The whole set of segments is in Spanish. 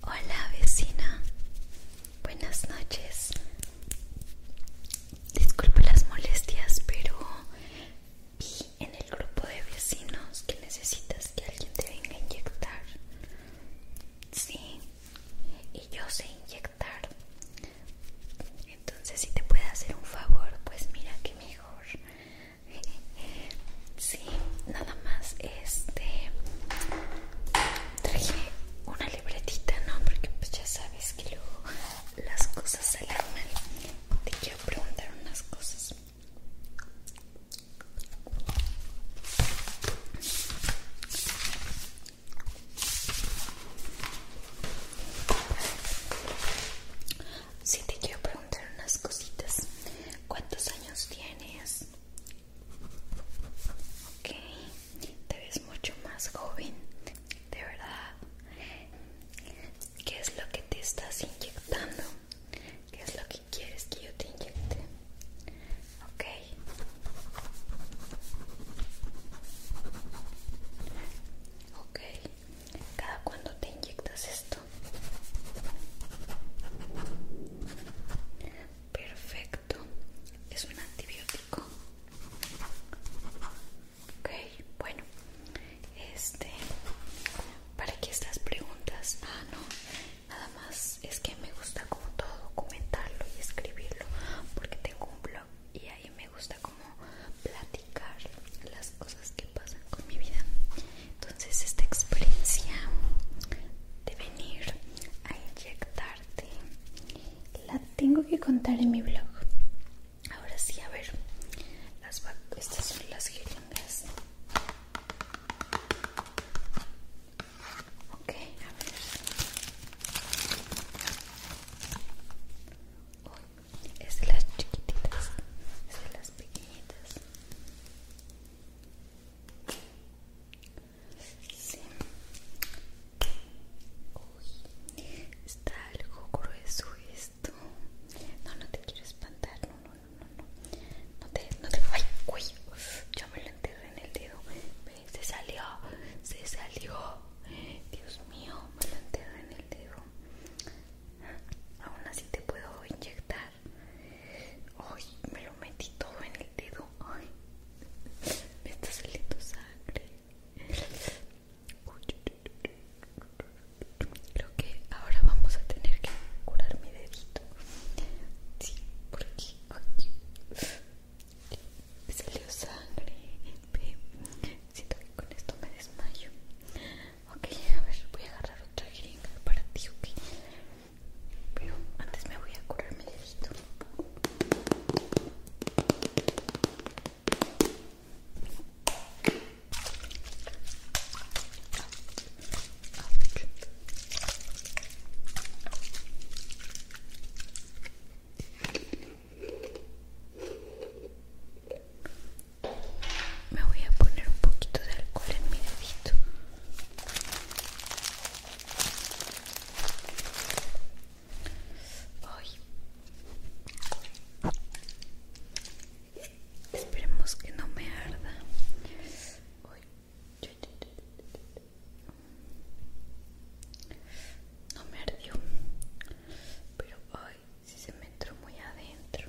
Hola vecina, buenas noches. Disculpe las molestias, pero vi en el grupo de vecinos que necesitas que alguien te venga a inyectar. Sí, y yo sé inyectar. Entonces, si te puede hacer un favor, pues mira que mejor. nada más este traje una libretita no porque pues ya sabes que luego las cosas se mal te quiero preguntar unas cosas Sí, te quiero preguntar unas cositas. ¿Cuántos años tienes? Ok, te ves mucho más joven, de verdad. ¿Qué es lo que te estás inyectando? ¿Qué es lo que quieres que yo te inyecte? Ok. Ok. Cada cuando te inyectas esto perfecto es un antibiótico ok bueno este para que estas preguntas ah no nada más es que me gusta como todo documentarlo y escribirlo porque tengo un blog y ahí me gusta como platicar las cosas que pasan con mi vida entonces esta experiencia de venir a inyectarte la tengo que contar en mi blog ahora sí a ver estas son las jeringas ok a ver Uy, es de las chiquititas es de las pequeñitas Sí. Uy, está algo grueso esto. No, no te quiero espantar. No, no, no, no. No te, no te. uy. Yo me lo enterré en el dedo. Se salió, se salió. Dios mío, me lo enterré en el dedo. Aún así te puedo inyectar. Ay, me lo metí todo en el dedo. Ay, me está saliendo sangre. Creo que ahora vamos a tener que curar mi dedito. Sí, porque aquí me salió sangre. Siento que con esto me desmayo. Ok, a ver, voy a agarrar otra jeringa para ti, ok. Pero antes me voy a curarme mi esto me voy a poner un poquito de alcohol en mi dedito hoy esperemos que no me arda no me ardió pero hoy si se me entró muy adentro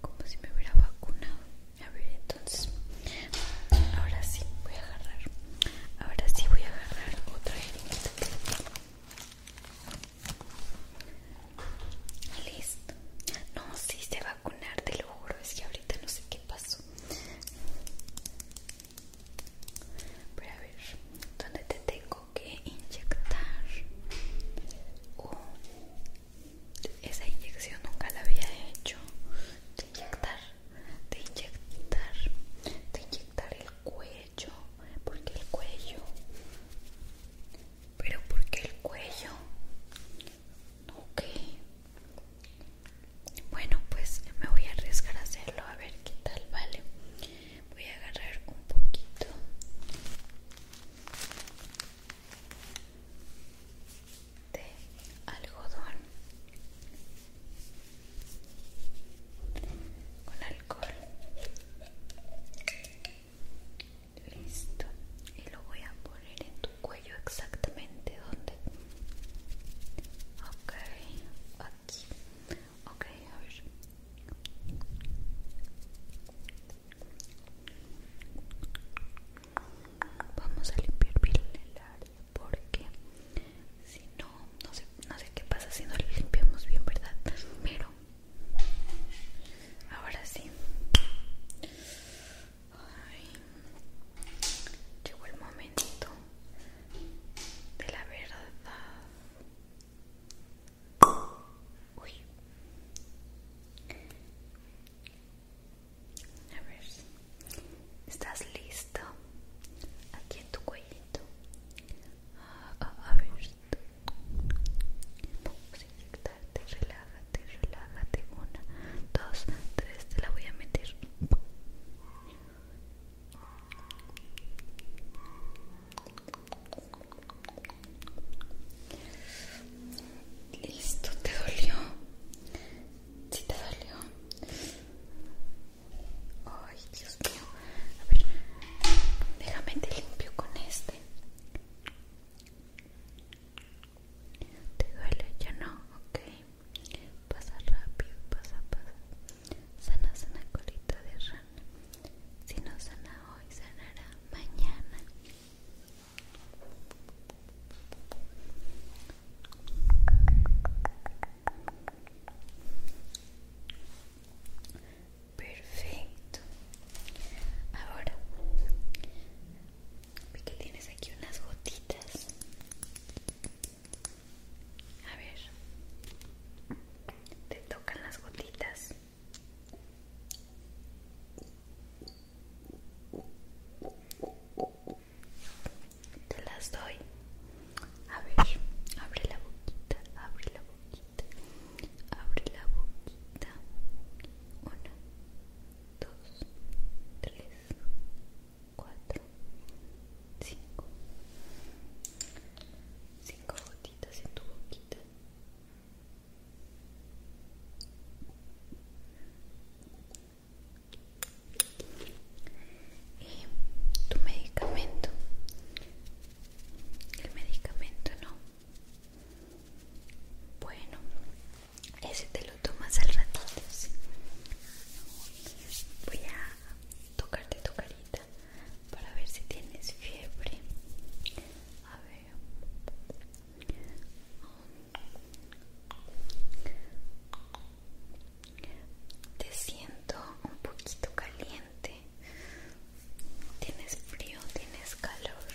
como si me hubiera vacunado a ver entonces ahora sí voy a agarrar ahora sí voy a agarrar otra herramienta. listo no si sí vacunar te lo juro es que ahorita no sé qué pasó voy a ver dónde te tengo que inyectar. esa inyección nunca la había hecho. De inyectar, de inyectar, de inyectar el cuello. Porque el cuello. Pero porque el cuello. Ok. Bueno, pues me voy a arriesgar a hacerlo a ver qué tal, vale voy a agarrar un poquito de algodón con alcohol listo y lo voy a poner en tu cuello exactamente donde ok aquí Ok, a ver. Vamos a limpiar bien el área porque si no, no sé, no sé qué pasa si no lo limpiamos bien, ¿verdad? Pero ahora sí. llegó el momento de la verdad. Uy. A ver, ¿estás listo? Aquí en tu cuellito. Ah, ah, a, ver, a Relájate, relájate. Una, dos, tres. Te la voy a meter. Listo, ¿te dolió? ¿Sí te dolió? Ay, Dios mío. A ver, déjame te limpio con este. ¿Te duele? Ya no, ok. Pasa rápido, pasa, pasa. Sanas una colita de rana. Si no sana hoy, sanará mañana. Perfecto. Ahora, ve que tienes aquí unas gotitas. A ver, te tocan las gotitas. Te las doy. A ver, abre la boquita, abre la boquita, abre la boquita. Una, dos, tres, cuatro, cinco cinco gotitas en tu boquita y eh, tu medicamento el medicamento no bueno ese te lo tomas al ratito voy a tocarte tu carita para ver si tienes fiebre. A ver. Te siento un poquito caliente. Tienes frío, tienes calor.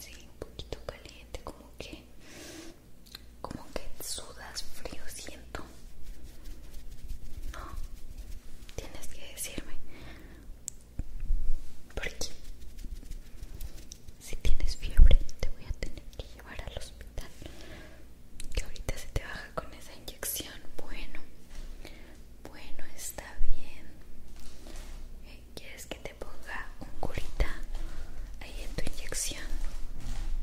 Sí, un poquito caliente, como que como que sudas frío siento no tienes que decirme porque si tienes fiebre te voy a tener que llevar al hospital que ahorita se te baja con esa inyección bueno bueno está bien eh, ¿Quieres que te ponga un curita ahí en tu inyección?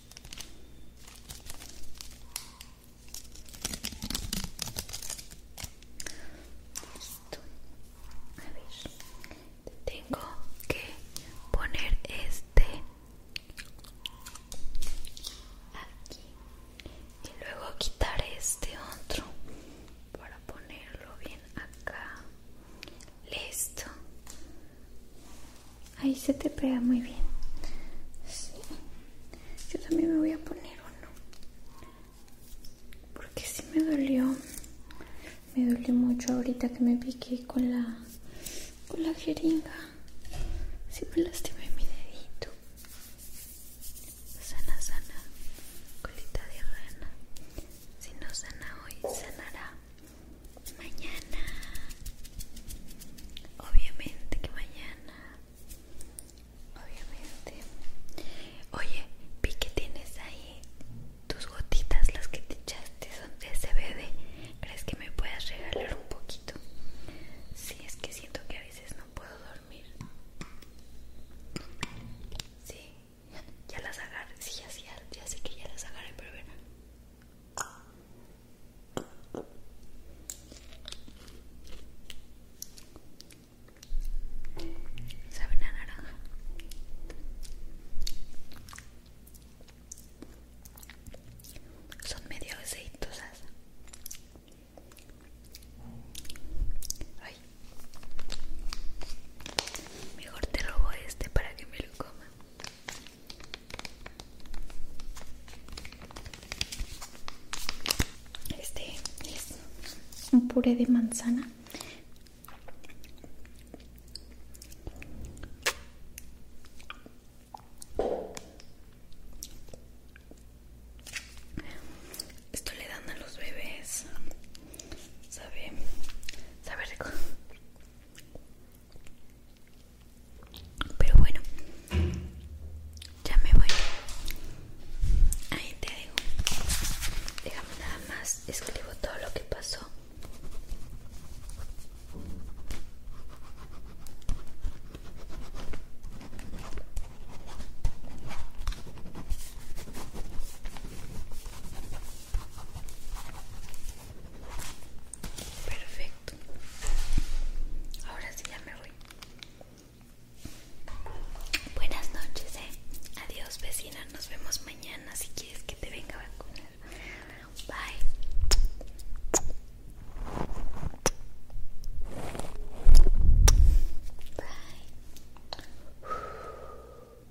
Listo. Tengo que poner este aquí y luego quitar este otro para ponerlo bien acá. Listo. Ahí se te pega muy bien. Yo también me voy a poner uno. Porque sí me dolió. Me dolió mucho ahorita que me piqué con la con la jeringa. Sí me lastimé mi dedito. Sana, sana. Colita de rana. Si no sana hoy, sanará mañana obviamente que mañana obviamente oye vi que tienes ahí tus gotitas las que te echaste son de CBD crees que me puedas regalar un poquito si sí, es que siento que a veces no puedo dormir sí ya las agarré sí ya, sé que ya las agarré pero bueno Sabe a naranja. Son medio aceitosas. Ay. Mejor te robo este para que me lo coma. Este es un puré de manzana. Esto le dan a los bebés. Sabe, sabe rico. Pero bueno, ya me voy. Ahí te digo Déjame nada más, escribo todo lo que pasó. Perfecto. Ahora sí ya me voy. Buenas noches, eh. Adiós, vecina. Nos vemos mañana si quieres que te venga a vacunar. Bye. Bye.